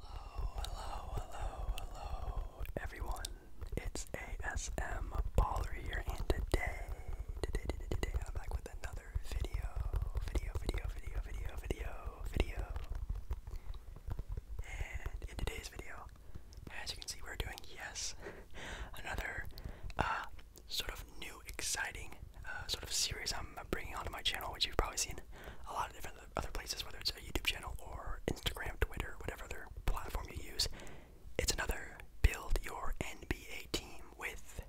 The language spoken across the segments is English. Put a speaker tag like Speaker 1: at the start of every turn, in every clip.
Speaker 1: Hello, hello, hello, hello, everyone. It's ASM Baller here, and today, today, today, today, I'm back with another video, video, video, video, video, video, video. And in today's video, as you can see, we're doing, yes, another uh, sort of new, exciting uh, sort of series I'm bringing onto my channel, which you've probably seen a lot of different other, other places, whether it's a YouTube channel or Instagram, Twitter, whatever other platform you use. It's another build your NBA team with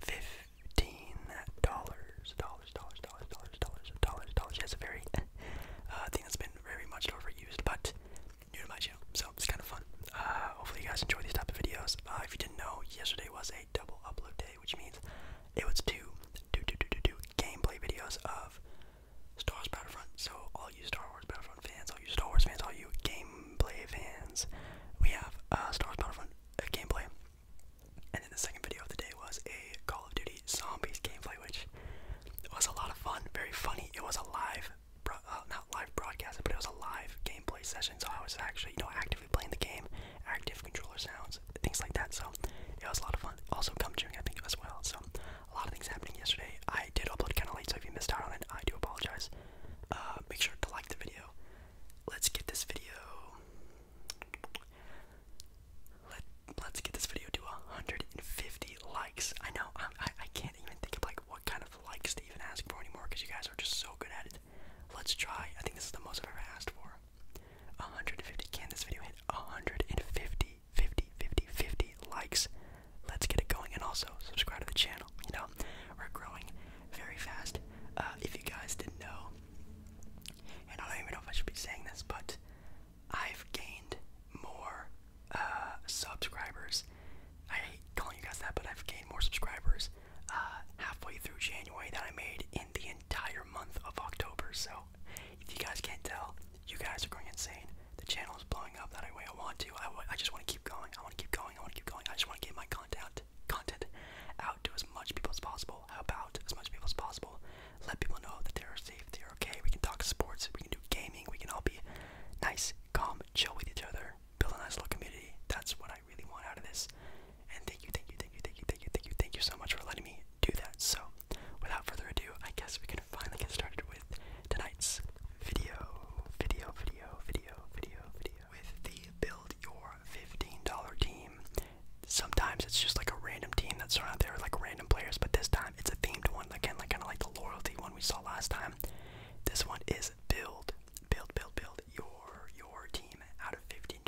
Speaker 1: fifteen dollars, dollars, dollars, dollars, dollars, dollars, dollars, dollars. That's a very uh, thing that's been very much overused, but new to my channel, so it's kind of fun. Uh, hopefully, you guys enjoy these type of videos. Uh, if you didn't know, yesterday was a double upload day, which means it was to gameplay videos of Star Wars Battlefront. So all you Star Wars Battlefront fans, all you Star Wars fans, all you gameplay fans, we have a Star Wars Battlefront uh, gameplay. And then the second video of the day was a Call of Duty Zombies gameplay, which was a lot of fun, very funny. It was a live, uh, not live broadcast, but it was a live gameplay session. So I was actually, you know, actively playing the game, active controller sounds things like that. So it was a lot of fun. Also, gum chewing, I think, as well. So a lot of things happening yesterday. I did upload kind of late, so if you missed out on it, I do apologize. Uh, make sure to like the video. Let's get this video. Let Let's get this video to 150 likes. I know I I can't even think of like what kind of likes to even ask for anymore because you guys are just so good at it. Let's try. I think this is the most I've ever asked for. 150. Can this video hit 150? 50, 50, 50 likes. Let's get it going. And also, subscribe to the channel. You know, we're growing very fast. Uh, if you guys didn't know, and I don't even know if I should be saying this, but I've gained more uh, subscribers. I hate calling you guys that, but I've gained more subscribers uh, halfway through January that I made in the entire month of October. So if you guys can't tell, you guys are going insane. The channel is blowing up that way I want to. I, I just want to keep going. I want to keep going. I want to keep going. I just want to get my content content out to as much people as possible. How about as much people as possible? Let people know that they're safe, they're okay. We can talk sports. We can do gaming. We can all be nice, calm, chill with each other. Build a nice little community. That's what I really want out of this. And thank you, thank you, thank you, thank you, thank you, thank you, thank you so much for letting me do that. So, without further ado, I guess we can finally get started with tonight's video, video, video, video, video, video. With the build your $15 team. Sometimes it's just like a random team that's thrown out there, like random players, but this time it's a themed one. Again, like kind of like the loyalty one we saw last time. This one is build, build, build, build your your team out of $15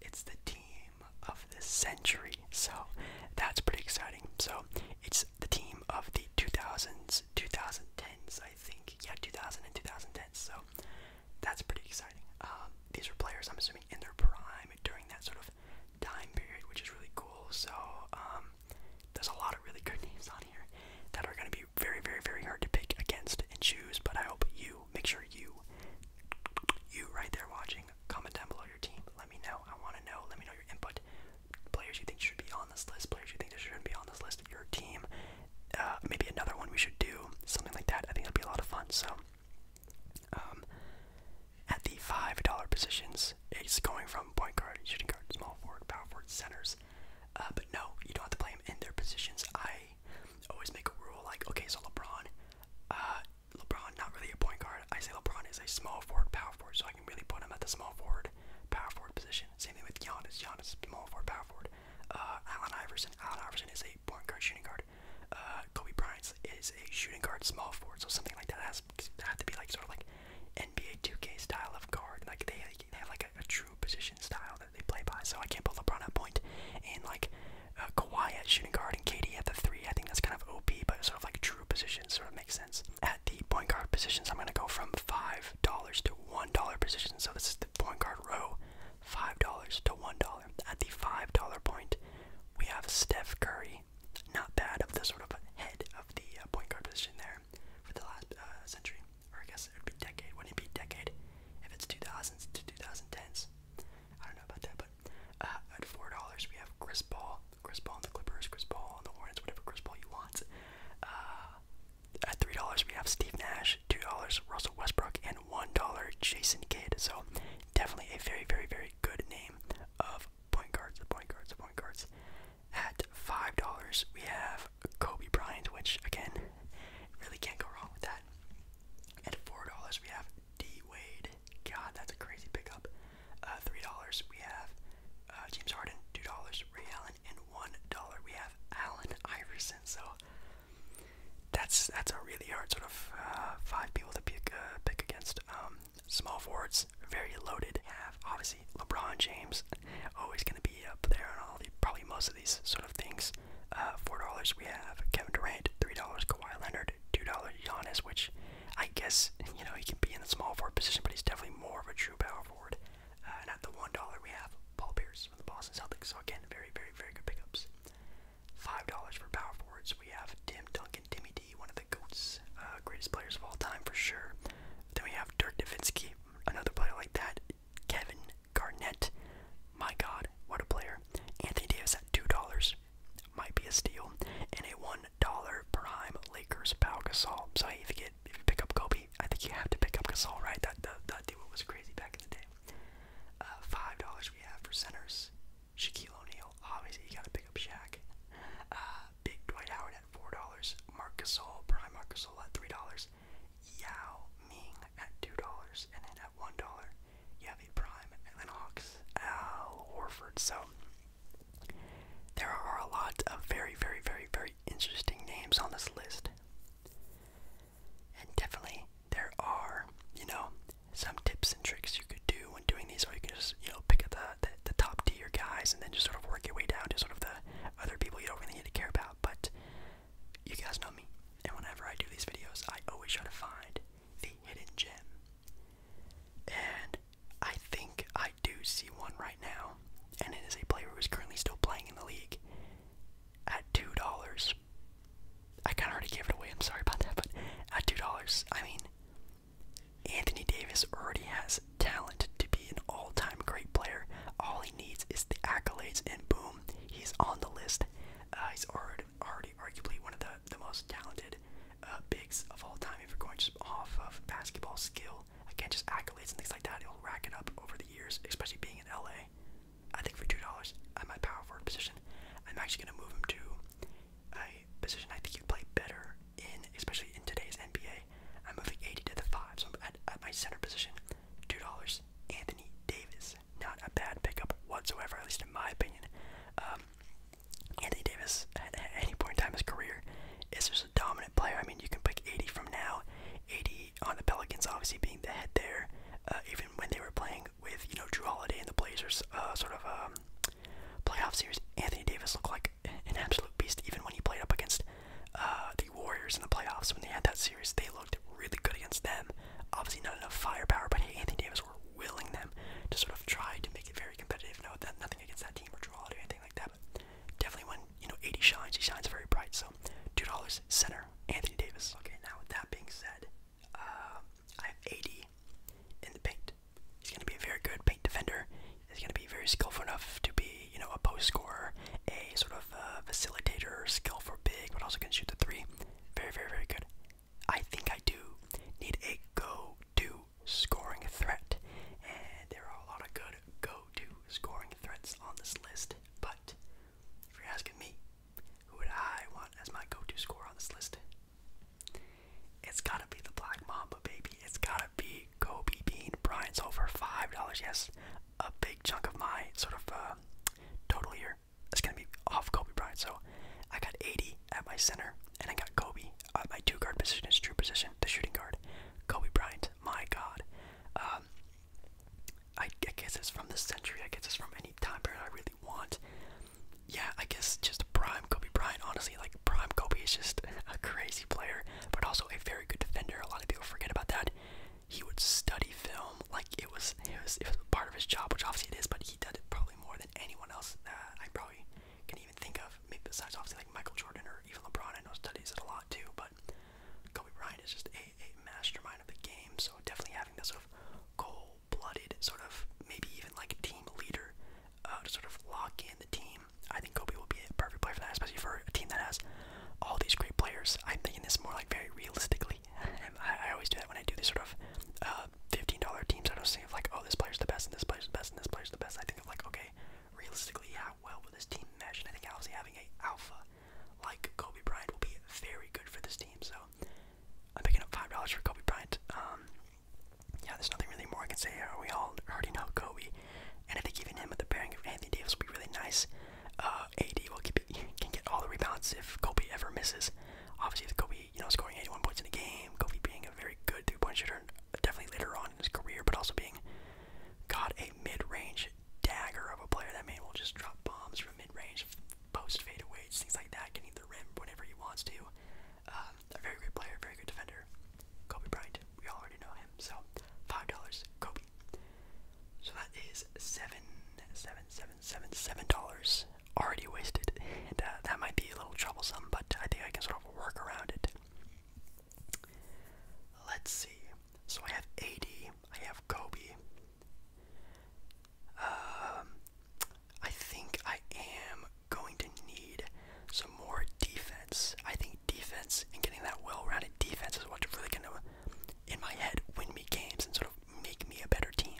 Speaker 1: it's the team of the century. So that's pretty exciting. So it's the team of the 2000s, 2010s, I think. Yeah, 2000 and 2010. So that's pretty exciting. Um, these are players, I'm assuming, in their prime during that sort of time period, which is really cool. So um, there's a lot of really good names on here that are going to be very, very, very hard to pick against and choose. But I hope you make sure you, you right there watching, comment down below your team. Let me know. I want to know. Let me know your input. Players you think should be on this list. Players you think shouldn't be on this list. Your team. Uh, maybe another one we should do. Something like that. I think it would be a lot of fun. So, um, at the five dollar positions, it's going from point guard, shooting guard, small forward, power forward, centers. Uh, but no, you don't have to play them in their positions. I always make a rule like, okay, so LeBron, uh, LeBron, not really a point guard. I say LeBron is a small forward, power forward, so I can really put him at the small forward, power forward position. Same thing with Giannis. Giannis, small forward, power forward. Uh, Allen Iverson. Allen Iverson is a point guard, shooting guard. Uh, Kobe Bryant is a shooting guard, small forward. So something like that has have to be like sort of like NBA 2K style of guard. Like they, they have like a, true position style that they play by. So I can't put LeBron at point and like uh, Kawhi at shooting guard and KD at the three. I think that's kind of OP, but sort of like true positions sort of makes sense. At the point guard positions, I'm gonna go from five dollars to one dollar position. So this is the point guard row, five dollars to one dollar. At the five dollar point, we have Steph Curry. Not bad of the sort of head of the uh, point guard position there for the last uh, century, or I guess it would be decade. Wouldn't it be decade if it's 2000s to 2010s? I don't know about that, but uh, at $4, we have Chris Paul. Chris Paul on the Clippers, Chris Paul on the Hornets, whatever Chris Paul you want. Uh, at $3, we have Steve Nash, $2, Russell Westbrook, and $1, Jason Kidd. So definitely a very, very, very good name of point guards, point guards, point guards. At $5, we have Kobe Bryant, which, again, really can't go wrong with that. At $4, we have D Wade. God, that's a crazy pickup. Uh, Three dollars. We have uh, James Harden. Two dollars. Ray Allen. And one dollar. We have Allen Iverson. So that's that's a really hard sort of uh, five people to pick uh, pick against. Um, small forwards, very loaded. have obviously LeBron James, always going to be up there on all the probably most of these sort of things. Uh, four dollars we have Kevin Durant. Three dollars Kawhi Leonard. Two dollars Giannis, which I guess you know he can be in the small forward position, but he's definitely more of a true power forward. Uh, and at the one dollar we have Paul Pierce from the Boston Celtics. So again, very, very, very good pickups. Five dollars for power forwards we have Tim Duncan, Timmy D, one of the goats, uh, greatest players of all time for sure. Then we have Dirk Nowitzki, another player like that. Kevin Garnett, my God, what a player! Anthony Davis at two dollars might be a steal, and a one dollar prime Lakers Pau Gasol. So if you get if you pick up Kobe, I think you have to pick up Gasol, right? That that, that deal was crazy back in the day. Uh, five dollars we have for centers. Shaquille O'Neal, obviously you gotta pick up Shaq. Uh, Big Dwight Howard at four dollars. Marc Gasol, prime Marc Gasol at three dollars. Yao Ming at two dollars, and then at one dollar, you have a prime Atlanta Al Horford. So there are a lot of very, very, very, very interesting names on this list. And definitely there are, you know, some tips and tricks you could do when doing these, or you can just, you know, pick up the, the top tier guys and then just sort of work your way down to sort of the other people you don't really need to care about. But you guys know me, and whenever I do these videos, I always try to find the hidden gem. And I think I do see one right now, and it is a player who is currently still playing in the league at two dollars. I kind of already gave it away. I'm sorry about that, but at two dollars, I mean, Anthony Davis already has talent to be an all-time great player. All he needs is the accolades, and boom, he's on the list. Uh, he's already already arguably one of the, the most talented uh, bigs of all time. If you're going just off of basketball skill, again, just accolades and things like that, it'll rack it up over the years, especially being in LA. I think for $2 at my power forward position, I'm actually going to move him to a position I think he'd play better in, especially in today's NBA. I'm moving 80 to the 5, so I'm at my center position. $2, Anthony Davis not a bad pickup whatsoever, at least in my opinion. Um, Anthony Davis, at, any point in time his career, is just a dominant player. I mean, you can pick 80 from now, 80 on the Pelicans, obviously being the head there, uh, even when they were playing with, you know, Drew Holiday and the Blazers, uh, sort of um, playoff series. Anthony Davis looked like an absolute beast, even when he played up against uh, the Warriors in the playoffs when they had that series. They looked really good against them. Obviously, not enough firepower, but Anthony Davis were willing them to sort of try to make it very competitive. No, that nothing against that team or draw or anything like that, but definitely when you know 80 shines, he shines very bright. So two dollars center Anthony Davis. Okay, now with that being said, um, I have 80 in the paint. He's going to be a very good paint defender. He's going to be very skillful enough to be, you know, a post scorer, a sort of uh, facilitator, skill for big, but also can shoot the three. Very, very, very good. I think I do need a go to scoring threat. And there are a lot of good go to scoring threats on this list. But if you're asking me, who would I want as my go to scorer on this list? It's gotta be the Black Mamba, baby. It's gotta be Kobe Bean Brian's over $5. Yes, a big chunk of my sort of uh, total here center. It's gonna be off Kobe Bryant. So I got 80 at my center, and I got Kobe at my two guard position, is true position, the shooting guard. Kobe Bryant, my God. Um, I, I guess it's from the century. I guess it's from any time period I really want. Yeah, I guess just prime Kobe Bryant. Honestly, like prime Kobe is just a crazy player, but also a very good defender. A lot of people forget about that. He would study film like it was it was it was part of his job, which obviously it is, but he did it probably probably more than anyone else that I probably can even think of. Maybe besides obviously like Michael Jordan or even LeBron. I know studies it a lot too, but Kobe Bryant is just a, a mastermind of the game. So definitely having that sort of cold-blooded sort of maybe even like team leader uh, to sort of lock in the team. I think Kobe will be a perfect player for that, especially for a team that has all these great players. I'm thinking this more like very realistic I, always do that when I do these sort of uh, $15 teams. I don't think of like, oh, this player's the best, and this player's the best, and this player's the best. I think of like, okay, realistically, how well will this team mesh? And I think obviously having a alpha like Kobe Bryant will be very good for this team. So I'm picking up $5 for Kobe Bryant. Um, yeah, there's nothing really more I can say. We all already know Kobe. And I think even him with the pairing of Anthony Davis will be really nice. Uh, AD will keep it, can get all the rebounds if Kobe ever misses. Obviously, if Kobe you know, scoring 81 points in a game, Kobe being a very good three-point shooter, definitely later on in his career, but also being got a mid-range dagger of a player. That man will just drop bombs from mid-range, post fadeaways, things like that, getting the rim whenever he wants to. Um, a very good player, very good defender. Kobe Bryant, we all already know him. So five dollars, Kobe. So that is seven, seven, seven, seven, seven dollars already wasted, and uh, that might be a little troublesome, but I think I can sort of work around it. Let's see. So I have AD, I have Kobe. Um, I think I am going to need some more defense. I think defense and getting that well-rounded defense is what's really gonna, in my head, win me games and sort of make me a better team.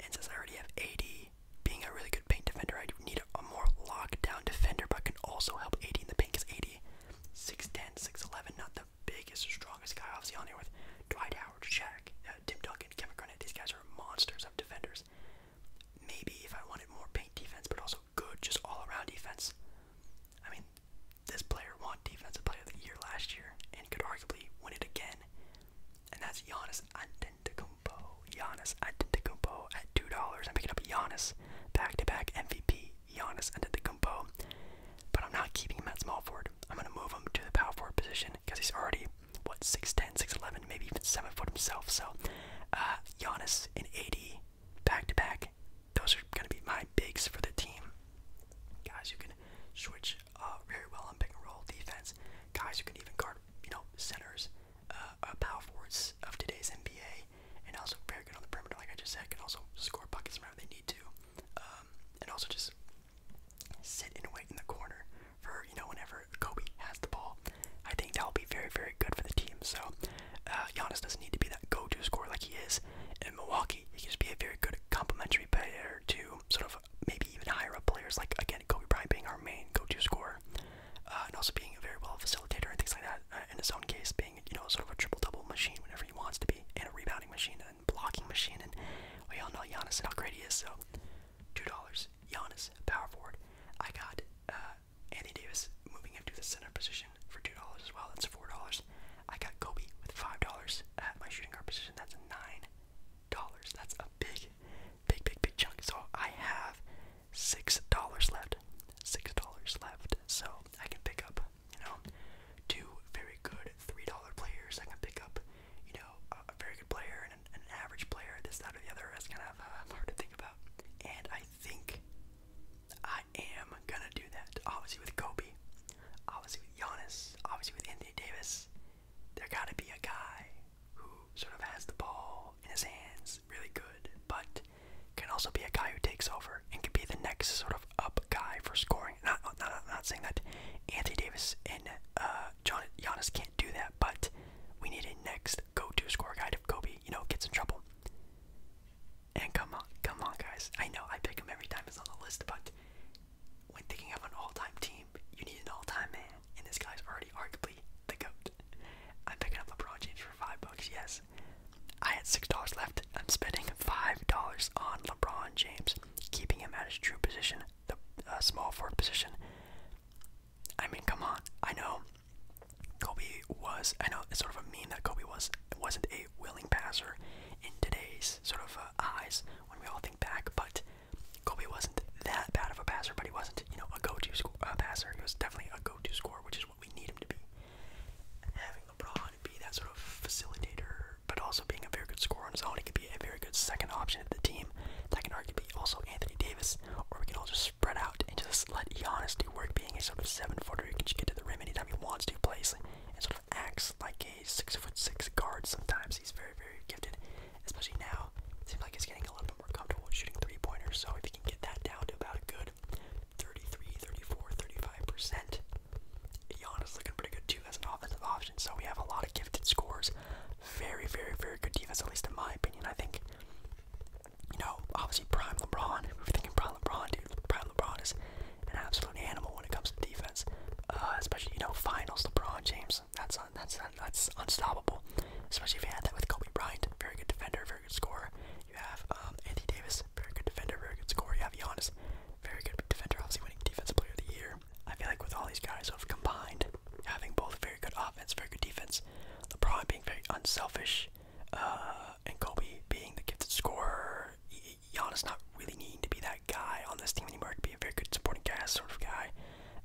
Speaker 1: And since I already have 80, being a really good paint defender, I need a, a more lockdown defender, but can also help 80 in the paint because 80, 6'10, 6'11, not the biggest strongest guy. Obviously, on here with Dwight Howard, Shaq, uh, Tim Duncan, Kevin Garnett. These guys are monsters of defenders. Maybe if I wanted more paint defense, but also good, just all around defense. I mean, this player won Defensive Player of the Year last year and could arguably win it again and that's Giannis Antetokounmpo. Giannis Antetokounmpo at two dollars. I'm picking up Giannis back-to-back -back MVP. Giannis Antetokounmpo, but I'm not keeping him at small forward. I'm gonna move him to the power forward position because he's already what 6'10", 6'11", maybe even seven foot himself. So, uh, Giannis and eighty back-to-back. -back. Those are gonna be my bigs for the team. Guys, you can switch uh, very well on pick and roll defense. Guys who can even guard, you know, centers, uh, uh, power forwards of today's NBA, and also very good on the perimeter, like I just said, can also score buckets whenever they need to, um, and also just sit and wait in the corner for, you know, whenever Kobe has the ball. I think that'll be very, very good for the team. So, uh, Giannis doesn't need to be that go-to scorer like he is in Milwaukee. He can just be a very good complementary player to sort of maybe maybe even higher up players like again Kobe Bryant being our main go-to scorer, uh, and also being a very well facilitator and things like that. Uh, in his own case, being you know sort of a triple-double machine whenever he wants to be, and a rebounding machine and blocking machine, and we all know Giannis and how great he is. So, two dollars, Giannis, power forward. I got uh, Andy Davis moving him to the center position for two dollars as well. That's four dollars. I got Kobe with five dollars at my shooting guard position. That's nine dollars. That's a big, big, big, big chunk. So I have six dollars left. Six dollars left. So I can pick up, you know, two very good three dollar players. I can pick up, you know, a, a very good player and an, an average player. This, that, or the other. It's kind of uh, hard to think about. And I think I am gonna do that. Obviously with Kobe, obviously with Giannis, obviously with Anthony Davis there got to be a guy who sort of has the ball in his hands really good, but can also be a guy who takes over and can be the next sort of up guy for scoring. Not, not, not saying that Anthony Davis and uh, John Giannis can't do that, but we need a next go-to score guy if Kobe, you know, gets in trouble. And come on, come on, guys. I know I pick him every time he's on the list, but when thinking of an all-time team, you need an all-time man, and this guy's already arguably the goat. I'm picking up LeBron James for five bucks. Yes, I had six dollars left. I'm spending five dollars on LeBron James, keeping him at his true position, the uh, small forward position. I mean, come on. I know Kobe was. I know it's sort of a mean that Kobe was wasn't a willing passer in today's sort of uh, eyes when we all think back, but Kobe wasn't that bad of a passer, but he wasn't, you know, a go-to uh, passer. He was definitely a go-to scorer, which is what we need him to be. Having LeBron be that sort of facilitator, but also being a very good scorer on his own, he could be a very good second option to the team. That can argue be also Anthony Davis, or we can all just spread out and just let Giannis do work, being a sort of seven-footer who can just get to the rim anytime he wants to, plays and sort of acts like a six-foot-six guard. Sometimes he's very, very gifted especially now. seems like it's getting a little bit more comfortable shooting three pointers, so if you can get that down to about a good 33, 34, 35%, Giannis looking pretty good too as an offensive option. So we have a lot of gifted scores. Very, very, very good defense, at least in my opinion. I think, you know, obviously Prime LeBron, if we're thinking Prime LeBron, dude, Prime LeBron is an absolute animal when it comes to defense. Uh, especially, you know, finals LeBron James. That's un that's un that's unstoppable. Especially if you had that with Kobe Bryant, very good defender, very good scorer. You have um, Anthony Davis, very good defender, very good scorer. You have Giannis, very good defender, obviously winning defensive player of the year. I feel like with all these guys sort of combined, having both very good offense, very good defense, LeBron being very unselfish, uh, and Kobe being the gifted scorer, Giannis not really needing to be that guy on this team anymore. He could be a very good supporting cast sort of guy.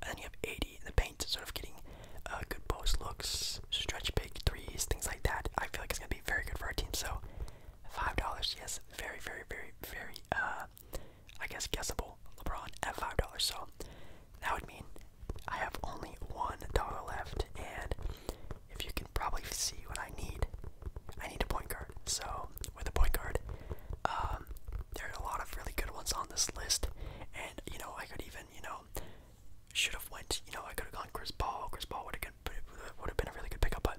Speaker 1: And then you have 80 in the paint, sort of getting uh, good post looks, stretch big threes, things like that. I feel like it's going to be very good for our team. So $5, yes, very, very, very, very, uh, I guess, guessable LeBron at $5. So that would mean I have only $1 left. And if you can probably see what I need, I need a point guard. So with a point guard, um, there are a lot of really good ones on this list, and you know I could even you know should have went you know I could have gone Chris Paul. Chris Paul would have would have been a really good pickup, but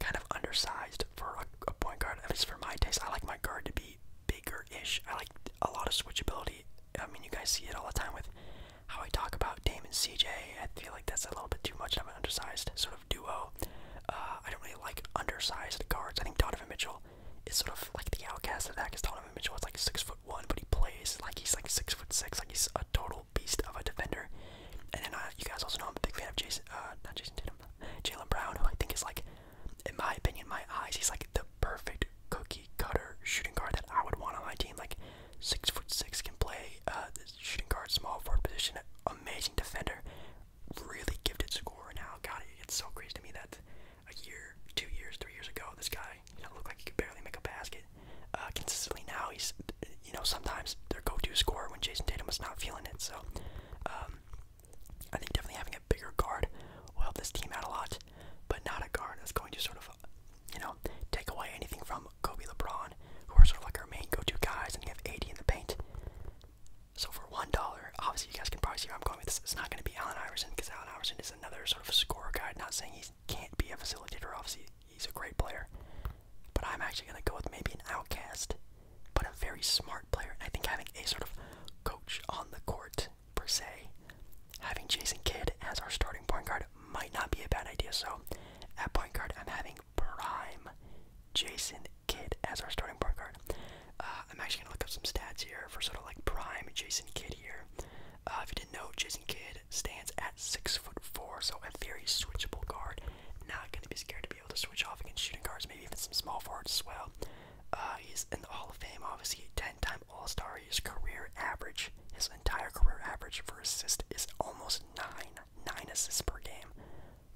Speaker 1: kind of undersized for a, point guard. At least for my taste, I like my guard to be bigger-ish. I like a lot of switchability. I mean, you guys see it all the time with how I talk about Dame and CJ. I feel like that's a little bit too much of an undersized sort of duo. Uh, I don't really like undersized guards. I think Donovan Mitchell is sort of like the outcast of that because Donovan Mitchell is like six foot one, but he plays like he's like six foot six, like he's a total beast of a defender. And then uh, you guys also know I'm a big fan of Jason, uh, not Jason Tatum, Jalen Brown, who I think is like, in my opinion, my eyes, he's like the perfect cookie cutter shooting guard that I would want on my team. Like six foot six can play uh, shooting guard, small forward position, amazing defender, really gifted scorer now. God, it's so crazy to me that a year, two years, three years ago, this guy you know looked like he could barely make a basket. Uh, consistently now, he's you know sometimes their go-to scorer when Jason Tatum was not feeling it. So um, I think definitely having a bigger guard will help this team out a lot, but not a guard that's going to sort of you know take away anything from Kobe, LeBron, who are sort of like our main go-to guys, and you have AD in the paint. So for one dollar, obviously you guys can probably see where I'm going with this. It's not going to be Allen Iverson because Allen Iverson is another sort of scorer guy. Not saying he can't be a facilitator. Obviously he's a great player, but I'm actually going to go with maybe an outcast, but a very smart player. And I think having a sort of coach on the court per se, having Jason Kidd as our starting point guard might not be a bad idea. So at point guard, I'm having prime Jason Kid as our starting point guard. Uh, I'm actually going to look up some stats here for sort of like prime Jason Kidd here. Uh, if you didn't know, Jason Kidd stands at six foot four, so a very switchable guard. Not going to be scared to be able to switch off against shooting guards, maybe even some small forwards as well. Uh, he's in the Hall of Fame, obviously, 10-time All-Star. His career average, his entire career average for assists, is almost nine, nine assists per game.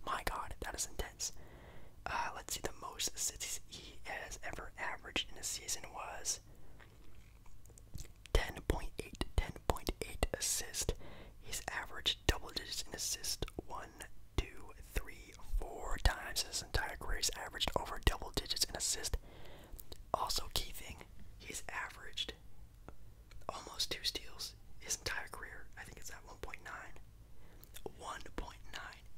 Speaker 1: My God, that is intense. Uh, let's see, the most assists he has ever averaged in a season was 10.8, 10.8 assist. He's averaged double digits in assist one, two, three, four times his entire career. He's averaged over double digits in assist. Also, key thing, he's averaged almost two steals his entire career. I think it's at 1.9. 1.9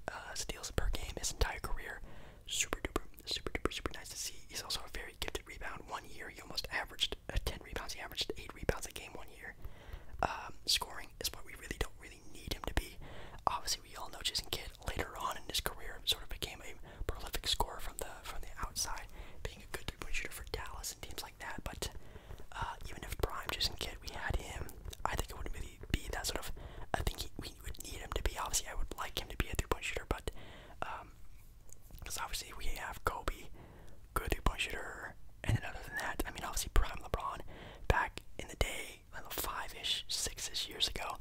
Speaker 1: uh, steals per game his entire career. Super duper, super duper, super nice to see. He's also a very gifted rebound. One year, he almost averaged uh, 10 rebounds. He averaged 8 rebounds a game one year. Um, scoring is what we really don't really need him to be. Obviously, we all know Jason Kidd later on in his career sort of became a prolific scorer from the from the outside, being a good three-point shooter for Dallas and teams like that. But uh, even if prime Jason Kidd, we had him I think it wouldn't really be that sort of. I think he, we would need him to be. Obviously, I would like him to be a three-point shooter, but because um, obviously we have Kobe, good three-point shooter, and then other than that, I mean, obviously prime LeBron back in the day, five-ish, six-ish years ago,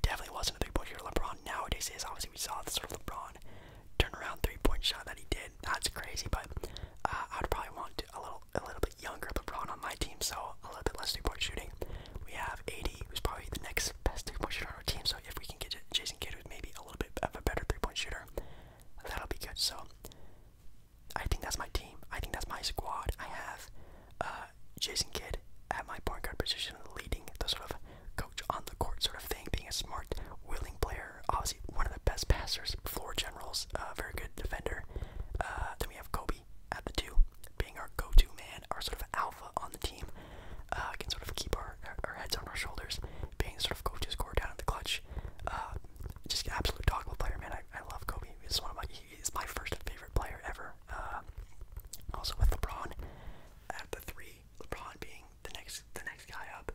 Speaker 1: definitely wasn't a three-point shooter. LeBron nowadays is. Obviously, we saw the sort of LeBron turnaround three-point shot that he did. That's crazy, but uh, I'd probably want a little, a little younger LeBron on my team, so a little bit less three-point shooting. We have AD, who's probably the next best three-point shooter on our team. So if we can get Jason Kidd, who's maybe a little bit of a better three-point shooter, that'll be good. So I think that's my team. I think that's my squad. I have uh, Jason Kidd at my point guard position, leading the sort of coach on the court sort of thing, being a smart, willing player. Obviously, one of the best passers, floor generals, a uh, very good defender. Uh, then we have Kobe at the two, being our go-to man, our sort of alpha on the team. Uh, can sort of keep our, our heads on our shoulders, being sort of go-to scorer down in the clutch. Uh, just absolute dog of player, man. I, I love Kobe. He's one of my he's my first favorite player ever. Uh, also with LeBron at the three, LeBron being the next the next guy up,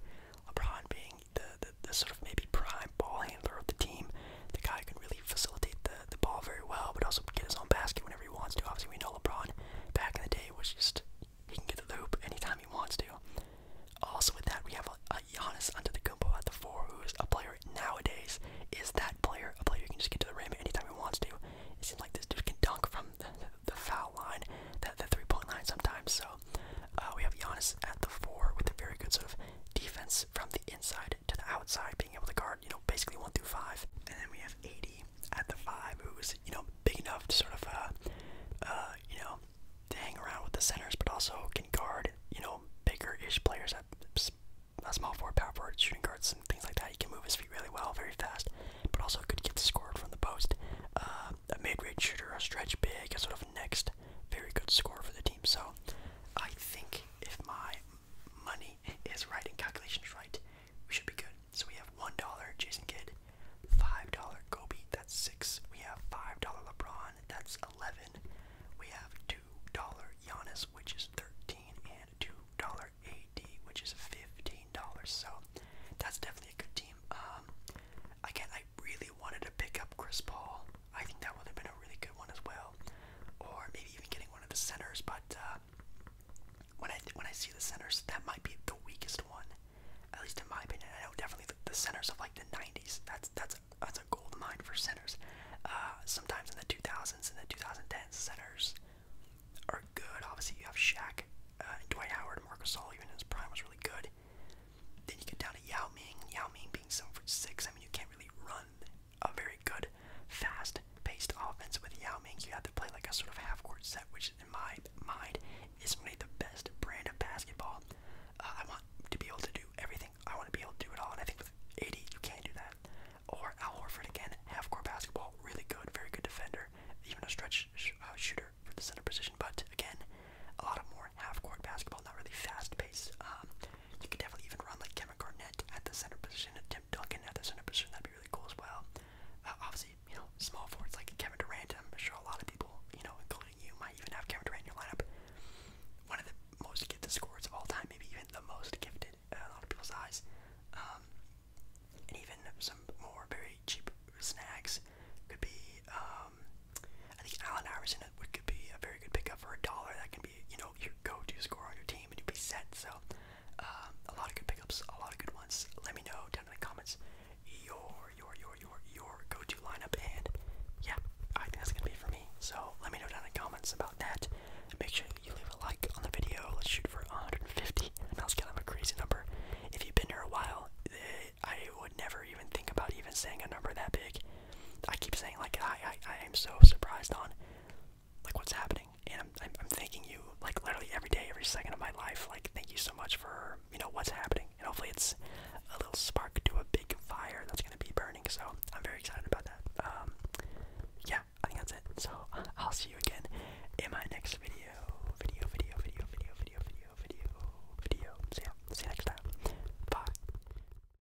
Speaker 1: LeBron being the the, sort of maybe prime ball handler of the team, the guy can really facilitate the, the ball very well, but also get his own basket whenever he wants to. Obviously, we know LeBron back in the day was just he can get the loop anytime he wants to. Also, with that, we have a, under the Antetokounmpo at the four, who is a player nowadays is that player a player who can just get to the rim anytime he wants to. It seems like this dude can dunk from the, foul line, the, the three point line sometimes. So uh, we have Giannis at the four with a very good sort of defense from the inside to the outside, being able to guard, you know, basically one through five. And then we have 80 at the five, who's, you know, big enough to sort of, uh, uh you know, hang around with the centers, but also can guard, you know, bigger-ish players at a small forward, power forward, shooting guards, and things like that. He can move his feet really well, very fast, but also could get scored from the post. Uh, a mid-range shooter, a stretch big, a sort of next very good score for the team. So I think if my money is right and calculation is right, we should be good. So we have $1 Jason Kidd, $5 Kobe, that's 6. We have $5 LeBron, that's 11. We have $2 Giannis, which is 13, and $2 AD, which is $15. So that's definitely a good team. Um, again, I really wanted to pick up Chris Paul I think that would have been a really good one as well, or maybe even getting one of the centers. But uh, when I when I see the centers, that might be the weakest one, at least in my opinion. I know definitely the, centers of like the '90s. That's that's that's a gold mine for centers. Uh, sometimes in the 2000s and the 2010s, centers are good. Obviously, you have Shaq, uh, and Dwight Howard, Marcus Gasol, even his prime, was really good. Then you get down to Yao Ming. Yao Ming being seven for six. I mean, you can't really run a very good, fast-paced offense with Yao Ming. You have to play like a sort of half-court set, which in my mind is really the best brand of basketball. Uh, I want to be able to do everything. I want to be able to do it all, and I think with 80 you can't do that. Or Al Horford again, half-court basketball, really good, very good defender, even a stretch uh, shooter for the center position. But again, a lot of more half-court basketball, not really fast-paced. Um, you could definitely even run like Kevin Garnett at the center position, Tim Duncan at the center position. That'd be really cool as well. Uh, obviously, you know, small forwards like Kevin Durant. I'm sure a lot of people, you know, including you, might even have Kevin Durant in your lineup. One of the most gifted scorers of all time, maybe even the most gifted in a lot of people's eyes. Um, and even some more very cheap snags could be. Um, I think Allen Iverson which could be a very good pickup for a dollar. That can be, you know, your go-to score on your team, and you'd be set. So, um, a lot of good pickups, a lot of good ones. Let me know down in the comments your your your your your go-to lineup, and yeah, I think that's gonna be for me. So let me know down in the comments about that. Make sure you leave a like on the video. Let's shoot for 150. That's kind of a crazy number. If you've been here a while, eh, I would never even think about even saying a number that big. I keep saying like I I, I am so surprised on like what's happening, and I'm, I'm I'm thanking you like literally every day, every second of my life. Like thank you so much for you know what's happening, and hopefully it's a little spark to a big fire that's gonna be burning. So I'm very excited about that. Um, yeah, I think that's it. So uh, I'll see you again in my next video. Video, video, video, video, video, video, video, video. See ya. See you next time. Bye.